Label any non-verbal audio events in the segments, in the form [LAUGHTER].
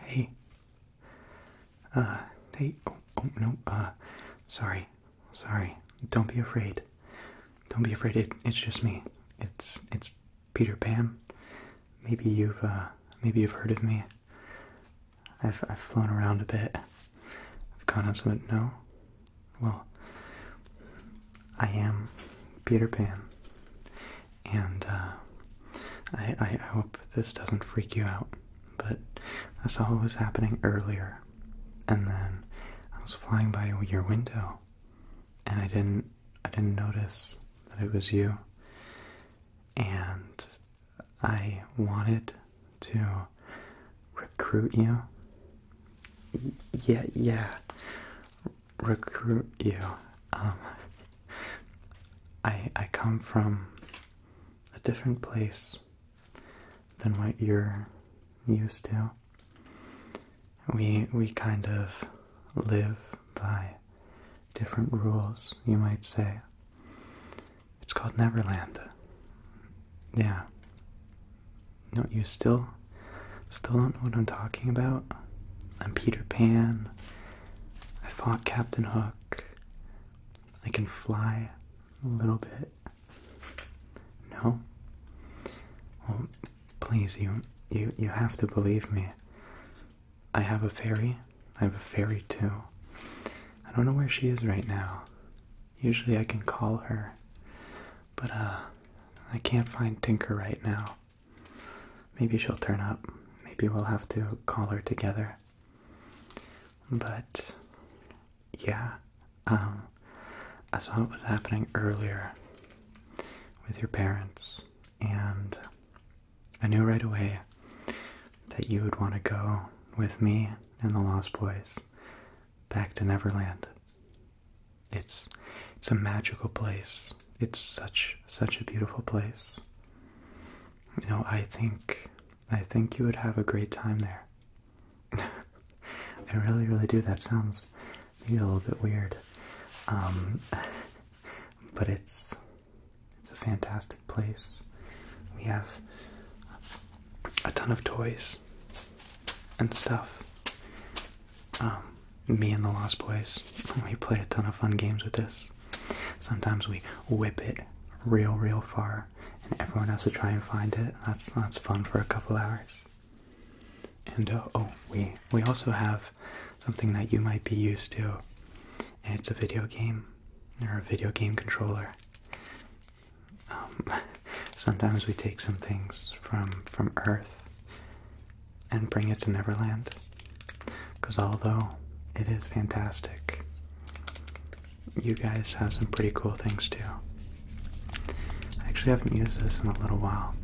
Hey. Uh, hey, oh, oh, no, uh, sorry, sorry. Don't be afraid. Don't be afraid, it's just me. It's, it's Peter Pan. Maybe you've, uh, maybe you've heard of me. I've, I've flown around a bit. I've gone on some, no? Well, I am Peter Pan, and uh, I, I hope this doesn't freak you out, but I saw what was happening earlier, and then I was flying by your window, and I didn't I didn't notice that it was you, and I wanted to recruit you. yeah, yeah recruit you. Um, I I come from a different place than what you're used to. We we kind of live by different rules, you might say. It's called Neverland. Yeah. No, you still still don't know what I'm talking about? I'm Peter Pan. I fought Captain Hook. I can fly a little bit. No? Well, please you you you have to believe me. I have a fairy. I have a fairy too. I don't know where she is right now. Usually I can call her. But uh I can't find Tinker right now maybe she'll turn up. Maybe we'll have to call her together. But yeah, um, I saw what was happening earlier with your parents, and I knew right away that you would want to go with me and the Lost Boys back to Neverland. It's it's a magical place. It's such such a beautiful place. You know, I think I think you would have a great time there. [LAUGHS] I really, really do. That sounds a little bit weird. Um, [LAUGHS] but it's it's a fantastic place. We have a ton of toys and stuff um, me and the Lost Boys, we play a ton of fun games with this. Sometimes we whip it real, real far, and everyone has to try and find it. That's that's fun for a couple hours. And uh, oh, we we also have something that you might be used to. And it's a video game or a video game controller. Um, [LAUGHS] sometimes we take some things from from Earth and bring it to Neverland. Because although it is fantastic, you guys have some pretty cool things too. I actually haven't used this in a little while.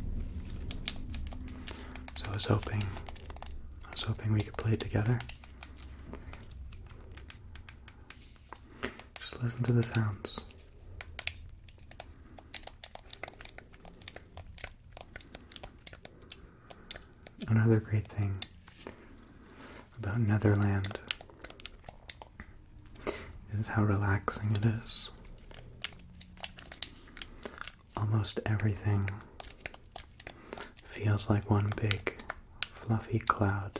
So I was hoping I was hoping we could play it together. Just listen to the sounds. Another great thing about Netherland is how relaxing it is. Almost everything feels like one big fluffy cloud.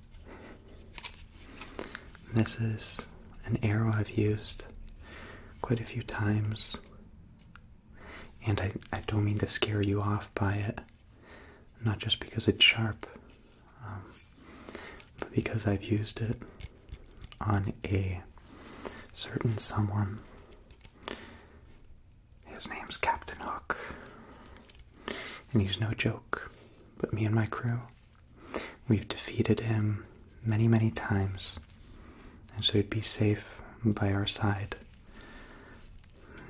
This is an arrow I've used quite a few times, and I, don't mean to scare you off by it, not just because it's sharp, um, but because I've used it on a certain someone. His name's Captain Hook, and he's no joke, but me and my crew. We've defeated him many, many times, and so he'd be safe by our side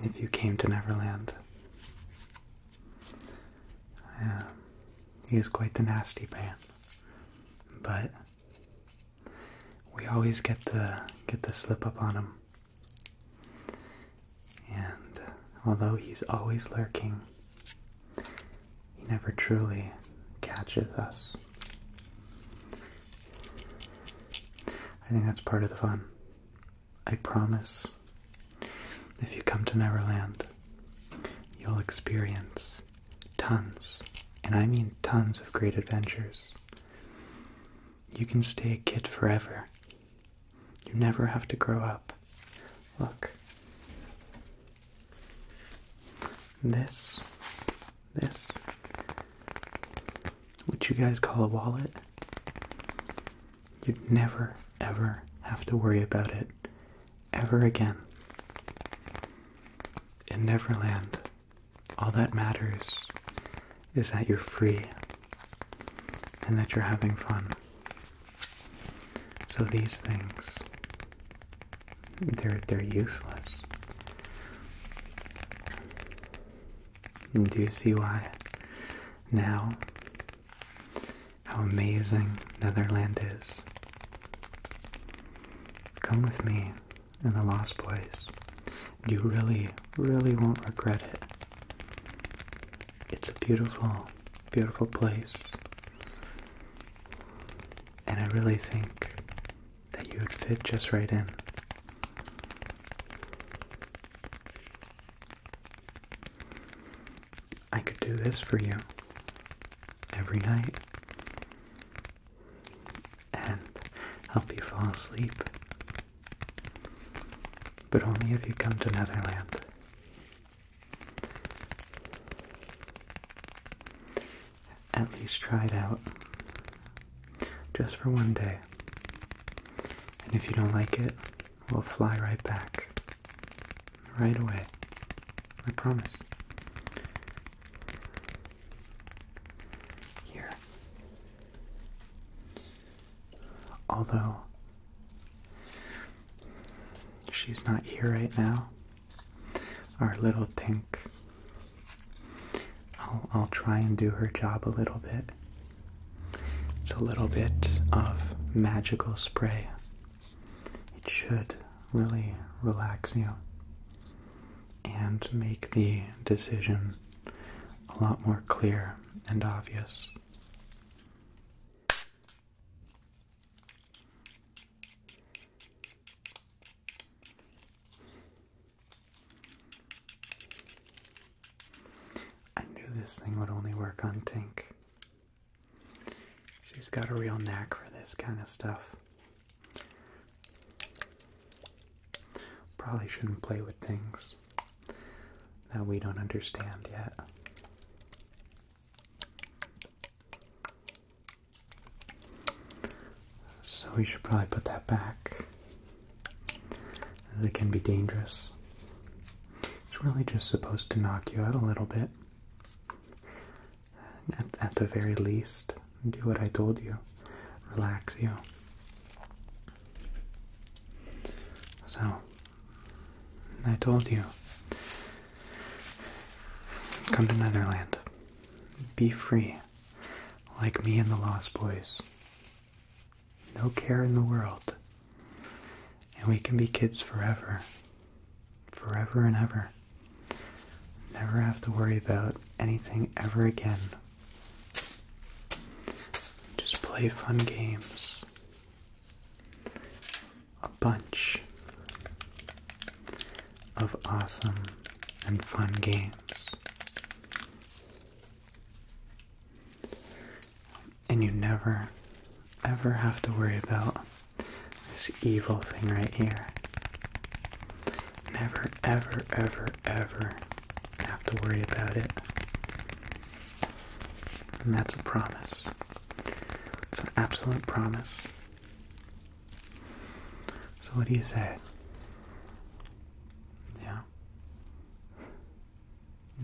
if you came to Neverland. he is quite the nasty man, but we always get the get the slip up on him. And although he's always lurking, he never truly catches us. I think that's part of the fun. I promise if you come to Neverland, you'll experience tons, and I mean tons of great adventures. You can stay a kid forever you never have to grow up. Look. This, this, what you guys call a wallet, you'd never ever have to worry about it ever again. In Neverland, all that matters is that you're free and that you're having fun. So these things, they're they're useless. do you see why now how amazing Netherland is? Come with me in the Lost place. You really, really won't regret it. It's a beautiful, beautiful place. And I really think that you would fit just right in. I could do this for you every night and help you fall asleep, but only if you come to Netherland. At least try it out. Just for one day. And if you don't like it, we'll fly right back. Right away. I promise. Here. Although, She's not here right now. Our little Tink. I'll, I'll try and do her job a little bit. It's a little bit of magical spray. It should really relax you and make the decision a lot more clear and obvious. I knew this thing would only work on Tink. She's got a real knack for this kind of stuff. Probably shouldn't play with things that we don't understand yet. So we should probably put that back. It can be dangerous. It's really just supposed to knock you out a little bit. At, the very least, do what I told you. Relax you. So, I told you. Come to Netherland. Be free. Like me and the Lost Boys. No care in the world. And we can be kids forever. Forever and ever. Never have to worry about anything ever again. Just play fun games a bunch of awesome and fun games. And you never, ever have to worry about this evil thing right here. Never, ever, ever, ever have to worry about it. And that's a promise. It's an absolute promise. So, what do you say? Yeah?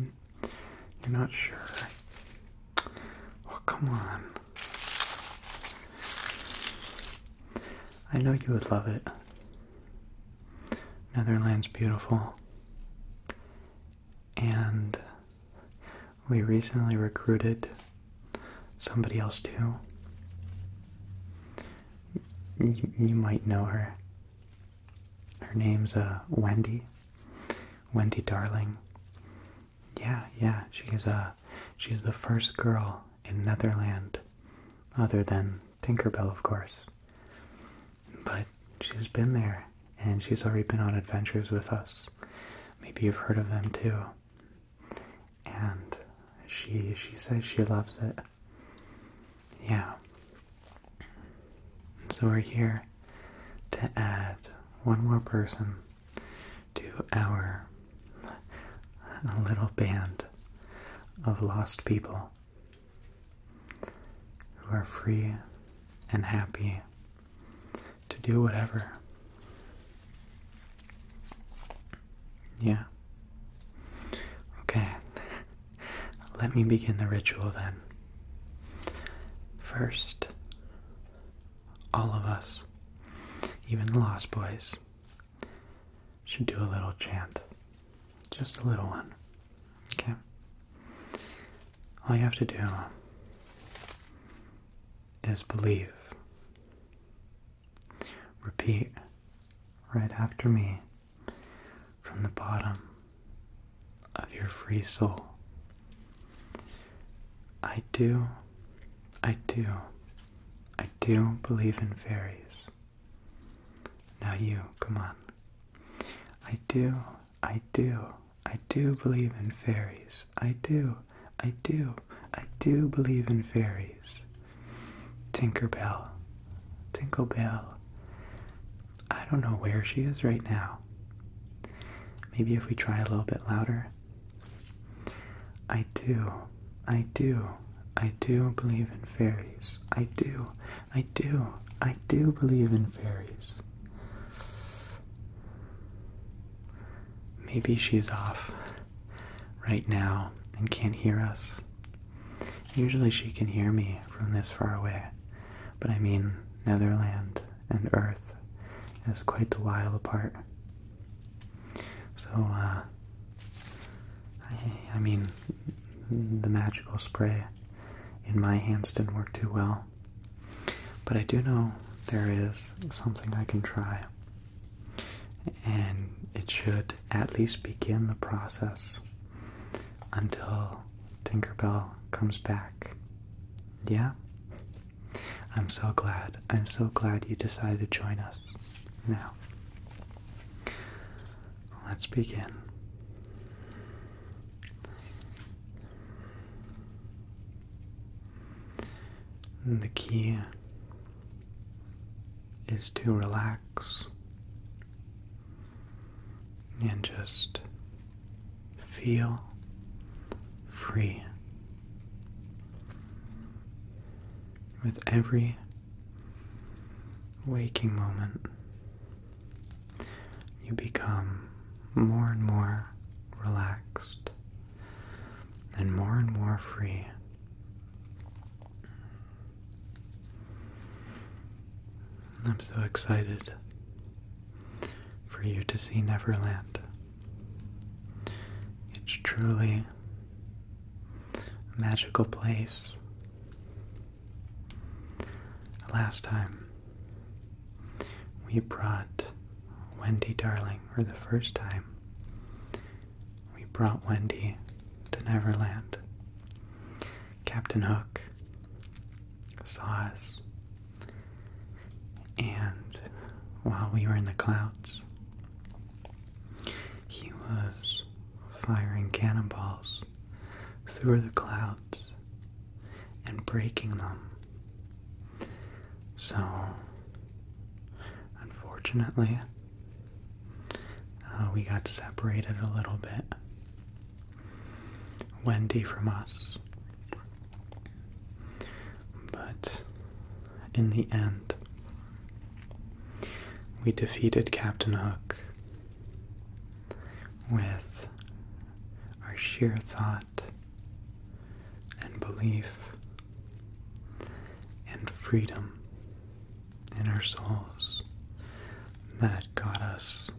You're not sure? Oh, come on. I know you would love it. Netherlands beautiful. And we recently recruited somebody else too. You, might know her. Her name's uh, Wendy. Wendy Darling. Yeah, yeah, she's uh, she's the first girl in Netherland, other than Tinkerbell, of course. But she's been there and she's already been on adventures with us. Maybe you've heard of them too. And she she says she loves it. Yeah. So we're here to add one more person to our little band of lost people who are free and happy to do whatever. Yeah. Okay. Let me begin the ritual then. First, all of us, even Lost Boys, should do a little chant. Just a little one. Okay? all you have to do is believe. Repeat right after me from the bottom of your free soul. I do, I do, I do believe in fairies. Now you, come on. I do, I do, I do believe in fairies. I do. I do. I do believe in fairies. Tinkerbell. Tinklebell. I don't know where she is right now. Maybe if we try a little bit louder. I do. I do. I do believe in fairies. I do. I do. I do believe in fairies. Maybe she's off right now and can't hear us. Usually she can hear me from this far away, but I mean, Netherland and Earth is quite a while apart. So, uh, I, I mean, the magical spray in my hands didn't work too well. But I do know there is something I can try, and it should at least begin the process until Tinkerbell comes back. Yeah? I'm so glad. I'm so glad you decided to join us. Now, let's begin. And the key is to relax and just feel free with every waking moment. You become more and more relaxed and more and more free. I'm so excited for you to see Neverland. It's truly a magical place. Last time we brought Wendy Darling, for the first time, we brought Wendy to Neverland. Captain Hook saw us, and while we were in the clouds, he was firing cannonballs through the clouds and breaking them. So, unfortunately, uh, we got separated a little bit. Wendy from us. But in the end, we defeated Captain Hook with our sheer thought and belief and freedom in our souls that got us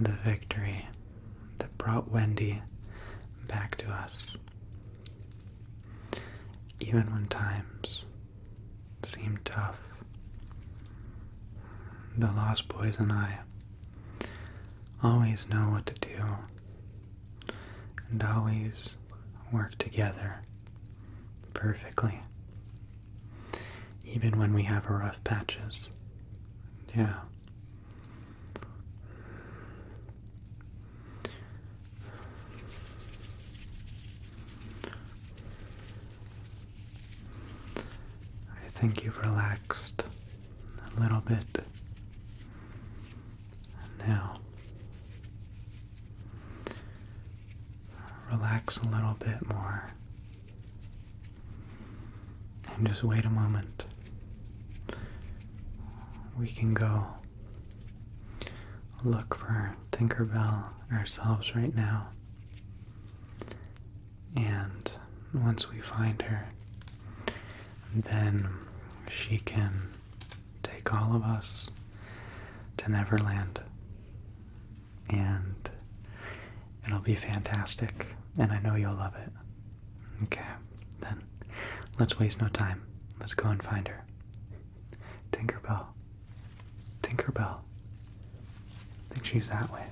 the victory that brought Wendy back to us. Even when times seemed tough, the Lost Boys and I always know what to do, and always work together perfectly, even when we have rough patches. Yeah. I think you've relaxed a little bit now. Relax a little bit more and just wait a moment. We can go look for Tinkerbell ourselves right now and once we find her, then she can take all of us to Neverland. And it'll be fantastic. And I know you'll love it. Okay, then let's waste no time. Let's go and find her. Tinkerbell. Tinkerbell. I think she's that way.